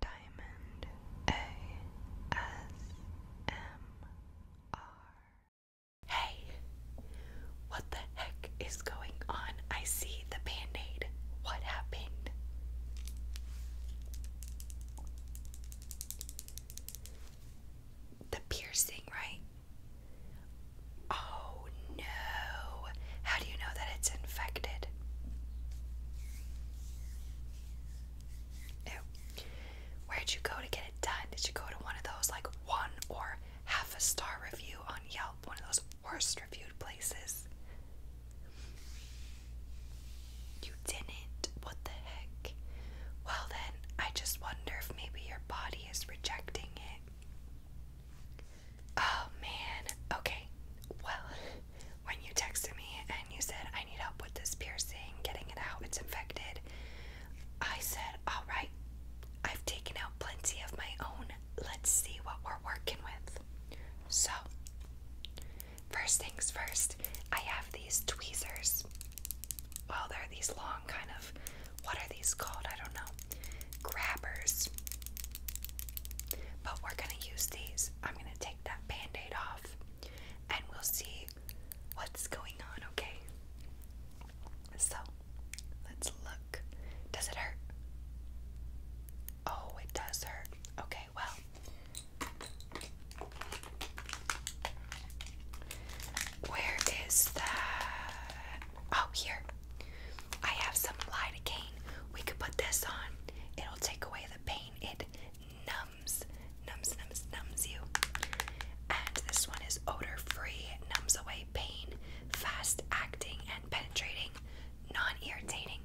Diamond ASMR. Hey, what the heck is going on? I see the band aid. What happened? The piercing, right? Oh no. How do you know that it's infected? Where'd you go to get it done? Did you go to one of those like one or half a star review on Yelp, one of those worst reviewed places? You didn't? What the heck? Well, then, I just wonder if maybe your body is rejecting it. Oh man. Okay. Well, when you texted me and you said I need help with this piercing, getting it out, it's infected. I said, "All right. I've taken out plenty of my own. Let's see what we're working with." So, first things first, I have these tweezers. Well, they're these long kind of what are these called? I don't know. Grabbers. But we're going to use these I'm gonna take that band aid off and we'll see what's going on, okay? So, let's look. Does it hurt? Oh, it does hurt. Okay, well, where is that? Oh, here. I have some lidocaine. We could put this on. It'll take away the pain. It numbs, numbs, numbs, numbs you. And this one is odor free, numbs away pain, fast acting and penetrating, non irritating.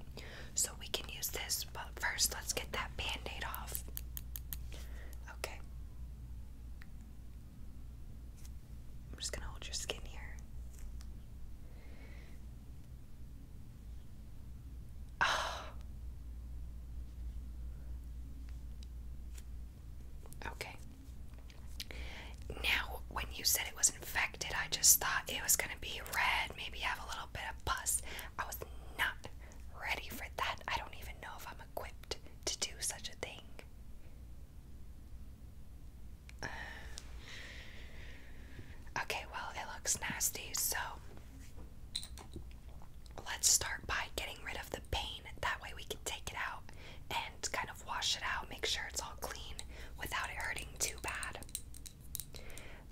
So we can use this, but first let's get that band aid off. Okay. I'm just gonna hold your skin here. Okay. Now, when you said it was infected, I just thought it was going to be red, maybe have a little bit of pus. I was not ready for that. I don't even know if I'm equipped to do such a thing. okay, well, it looks nasty, so let's start by getting rid of the pain. That way, we can take it out and kind of wash it out, make sure it's all clean without it hurting too bad.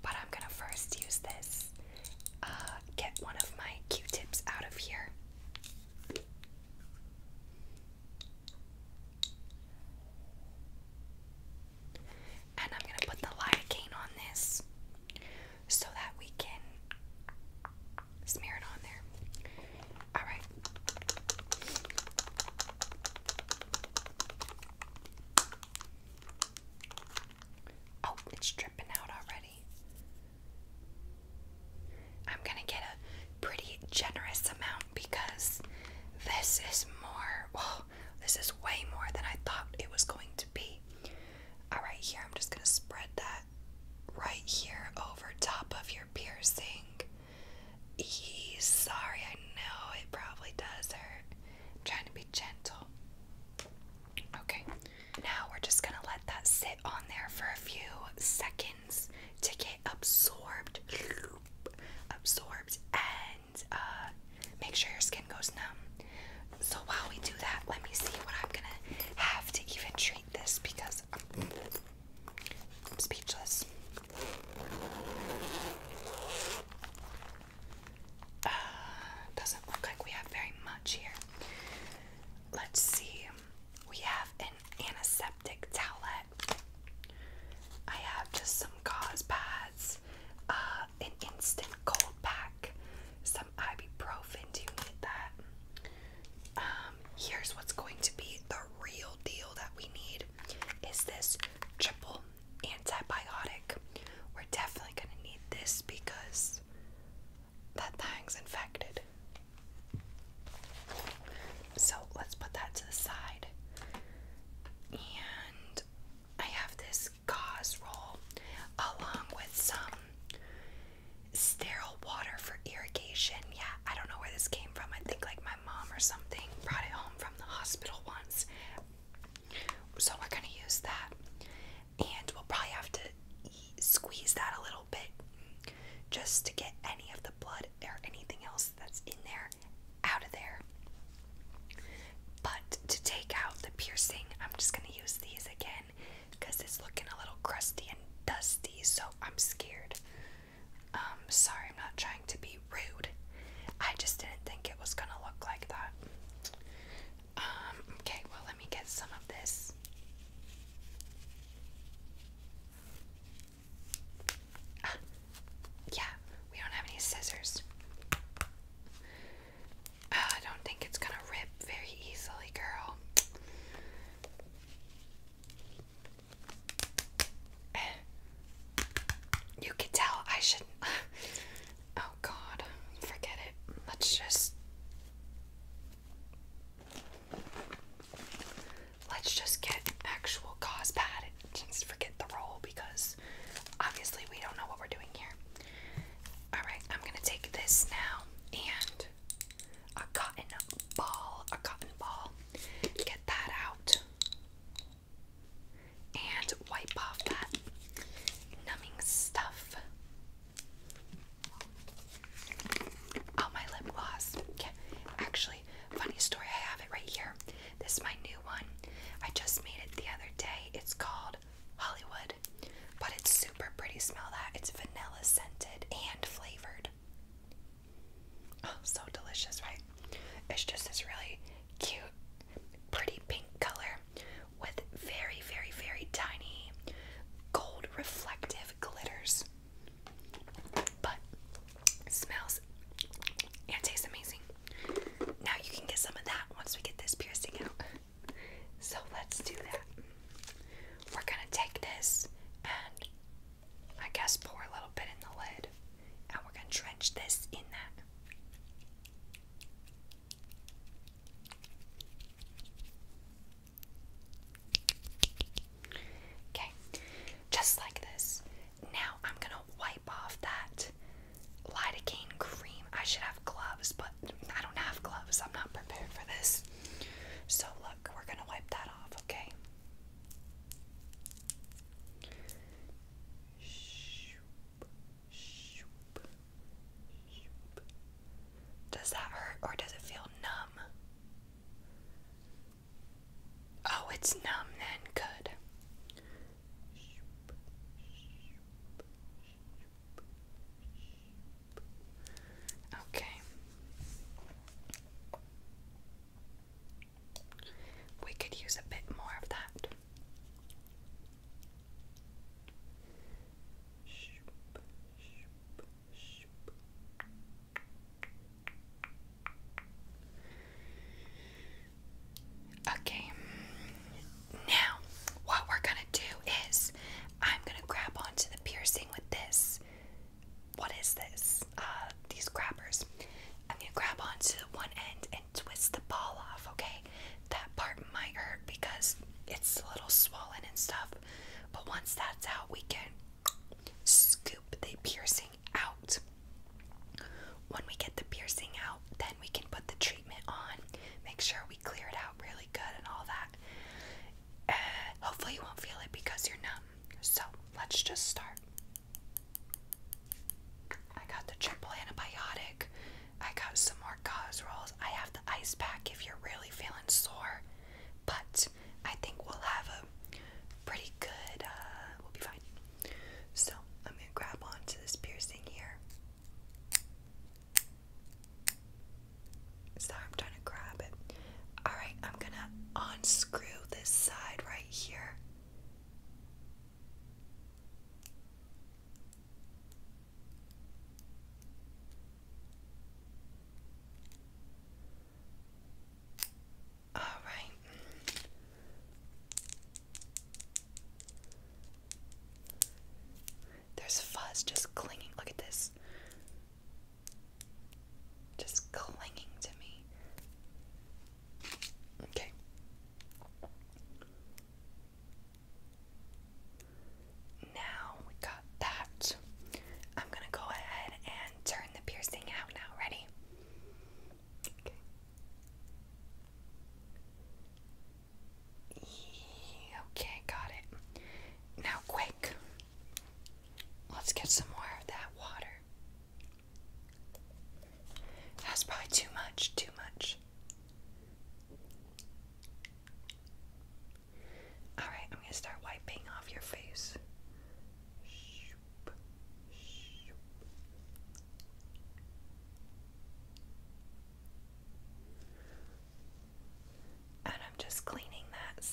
But I'm gonna first use this, uh, get one of my q tips out of here. And I'm going to put the lidocaine on this so that we can smear it on there. Alright. Oh, it's dripping out already. I'm going to get a pretty generous amount because this is more, well, this is way more than I thought it was going to be. All right, here, I'm just going to spread that right here over top of your piercing. Eee, sorry, I know it probably does hurt. trying to be gentle. Okay, now we're just gonna let that sit on there for a few seconds to get absorbed, absorbed, and uh, make sure your skin goes numb. So while we do that, let me see what I'm gonna have to even treat this because I'm, speechless. Uh, doesn't look like we have very much here. Let's see. We have antiseptic towelette. I have just some gauze pads, uh, an instant cold pack, some ibuprofen. Do you need that? Um, here's what's going to be the real deal that we need is this triple antibiotic. We're definitely gonna need this because that thing's infected. So let's put that to the side. And I have this gauze roll along with some sterile water for irrigation. Yeah, I don't know where this came from. I think like my mom or something brought it home from the hospital once. So we're going to use that. And we'll probably have to squeeze that a little just to get any of the blood or anything else that's in there out of there. But to take out the piercing, I'm just going to use these again because it's looking a little crusty and dusty, so I'm scared. Um, sorry, I'm not trying to be rude. I just didn't think it was going to look like that. Um, okay, well, let me get some of this. yeah, we don't have any scissors. Uh, I don't think it's gonna rip very easily, girl. You could tell I shouldn't. Oh god, forget it. Let's just. Let's just get actual gauze just forget the roll because obviously we don't know what we're doing here. Alright, I'm gonna take this now and a cotton ball, a cotton ball. Get that out and wipe off that numbing stuff. Oh, my lip gloss. Yeah, actually, funny story. I have it right here. This is my new one. I just made it the other day. It's called Hollywood, but it's super pretty. Smell that. It's vanilla scented and flavored. Oh, so delicious, right? It's just this really cute, pretty pink color with very, very, very tiny gold reflective glitters. But smells and tastes amazing. Now you can get some of that once we get this piercing out. So let's do that. We're gonna take this and I guess pour a little bit in the lid and we're gonna drench this in that. Okay, just like this. Now I'm gonna wipe off that lidocaine cream. I should have gloves, but I don't have gloves. I'm not prepared for this. So, look, we're gonna wipe that off, okay? Does that hurt or does it feel numb? Oh, it's numb then. Good. Okay. We could use a bit more of that. Okay, now what we're gonna do is I'm gonna grab onto the piercing with this. What is this? Uh, these grabbers. I'm gonna grab onto one end and twist the ball off, okay? That part might hurt because it's a little swollen and stuff, but once that's out, we can scoop the piercing out. When we get the piercing out, then we can put the treatment on. Make sure we clear it out really good and all that. Uh, hopefully, you won't feel it because you're numb. So, let's just start. I got the triple antibiotic. I got some more gauze rolls. I have the ice pack if you're really feeling sore but I think we'll have a pretty good, uh, we'll be fine. So I'm gonna grab onto this piercing here. Sorry, I'm trying to grab it. Alright, I'm gonna unscrew this side right here. All right. There's fuzz just clinging. Look at this. Just clinging to me. Okay. Now we got that. I'm gonna go ahead and turn the piercing out now. Ready? Okay. got it. Now, quick, let's get some more of that water. That's probably too much, too much. Alright, I'm gonna start wiping off your face. And I'm just cleaning that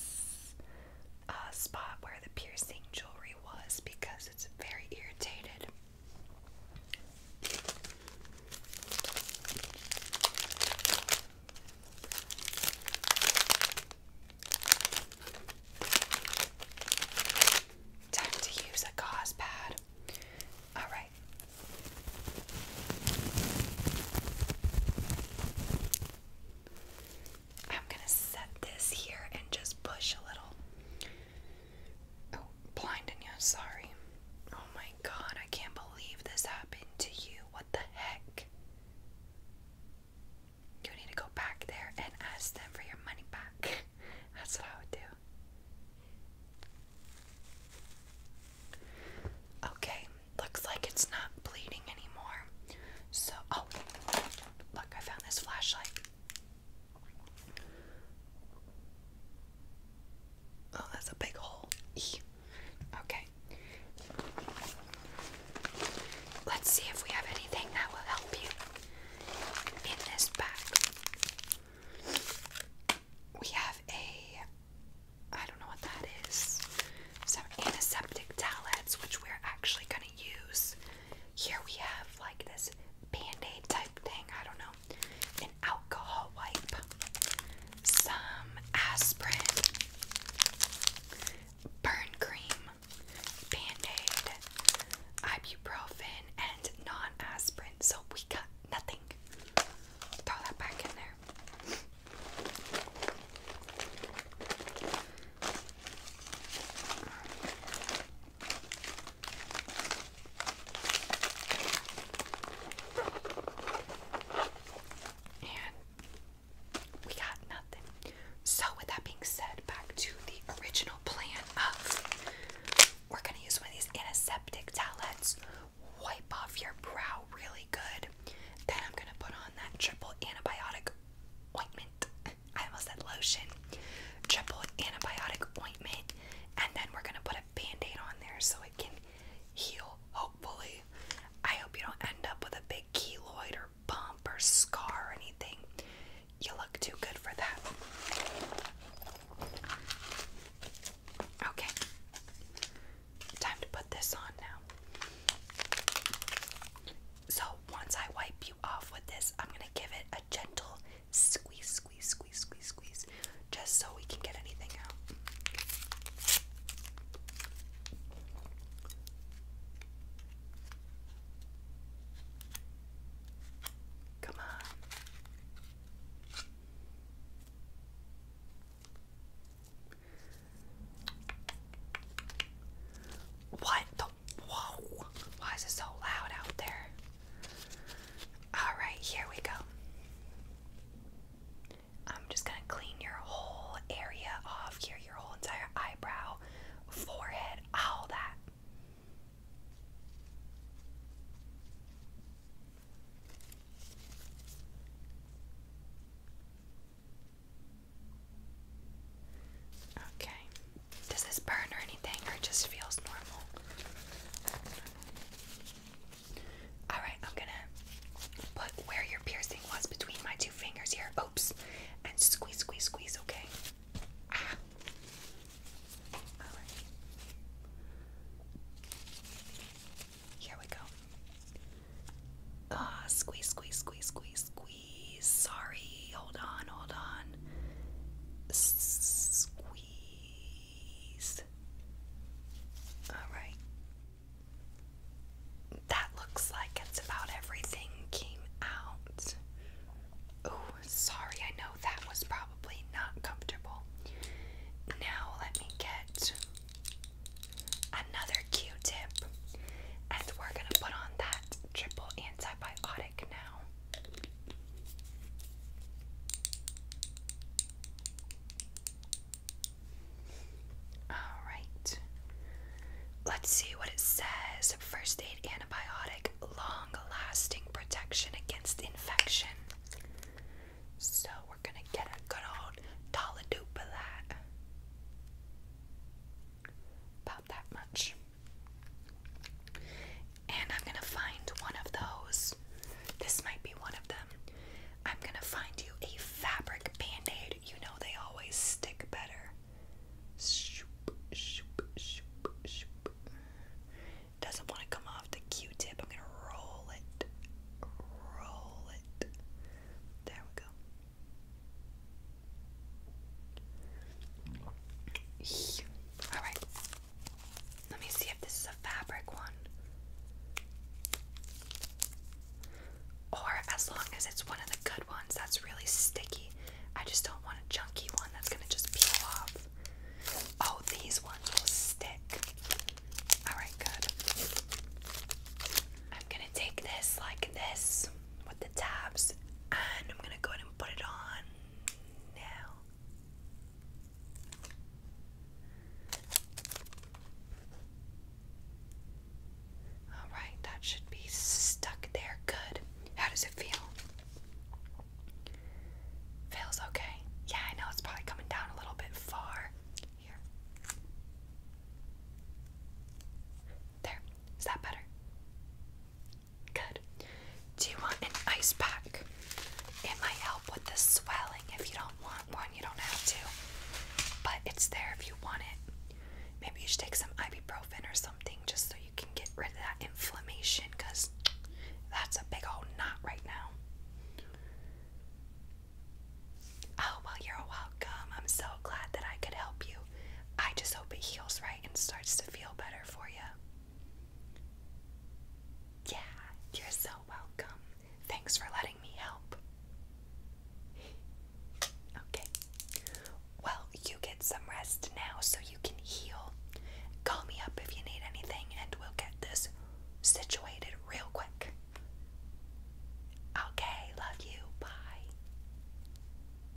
uh, spot where the piercing jewelry was because it's very irritated. Time to use a gauze All right. I'm going to set this here and just push a little. Oh, blinding you, sorry. Oh my god, I can't believe this happened to you. What the heck? You need to go back there and ask them for your money back. That's what I would do. Okay, looks like it's not bleeding anymore. So, oh, look, I found this flashlight. Oh, that's a big hole. Okay. Let's see if we have anything that will help you in this bag. We have a I don't know what that is. Some antiseptic towelettes, which we're actually gonna use. Here we have like this band-aid type thing. I don't know an alcohol wipe, some aspirin, burn cream, band aid, ibuprofen, and non aspirin. So we got nothing. Throw that back in there. And we got nothing. So, with that being said, back to the original plan of we're going to use one of these antiseptic towelettes, wipe off your brow really good. Then I'm going to put on that triple antibiotic ointment. I almost said lotion. Triple antibiotic ointment. And then we're going to put put band-aid on there so it can heal, hopefully. I hope you don't end up with a big keloid or bump or scar or anything. You look too good for that. Okay. Time to put this on now. So, once I wipe you off with this, I'm going to give it a gentle squeeze, squeeze, squeeze, squeeze, squeeze, just so we can get anything out. Come on. What the? Why is it so loud out there? Alright, here we go. I'm just going to clean your whole area off here, your whole entire eyebrow, forehead, all that. Okay. Does this burn or anything or just feels normal? Alright, I'm gonna put where your piercing was between my two fingers here. Oops. And squeeze, squeeze, squeeze, okay? Ah. Here we go. Ah, squeeze, squeeze, squeeze, squeeze, squeeze. Sorry, hold on, hold on. squeeze. Alright. That looks like it's about everything came out. Oh, sorry, I know that was probably not comfortable. Now let me get another Q tip. And we're going to put on that triple antibiotic. Alright. Let's see what it says. First aid antibiotic, long lasting protection against infection. So we're gonna get a good old dolladoop of that. About that much. And I'm gonna find one of those. This might be one of them. I'm gonna find you a fabric band aid. You know they always stick better. Doesn't want to come off the q tip. I'm gonna roll it. Roll it. There we go. Alright. Let me see if this is a fabric one. Or as long as it's one of the good ones that's really sticky. I just don't want a junky one that's gonna just peel off. Oh, these ones will stick. Alright, good. I'm gonna take this like this with the tabs and I'm gonna go ahead and put it on. Now, all right, that should be stuck there. Good. How does it feel? Feels okay. Yeah, I know it's probably coming down a little bit far. Here. There. Is that better? Good. Do you want an ice pack? It might help with the swelling. If you don't want one, you don't have to. But it's there if you want it. Maybe you should take some ibuprofen or something just so you can get rid of that inflammation because that's a big old knot right now. Oh, well, you're welcome. I'm so glad that I could help you. I just hope it heals right and starts to feel better you. Yeah, you're so welcome. Thanks for letting me help. Okay. Well, you get some rest now so you can heal. Call me up if you need anything and we'll get this situated real quick. Okay, love you. Bye.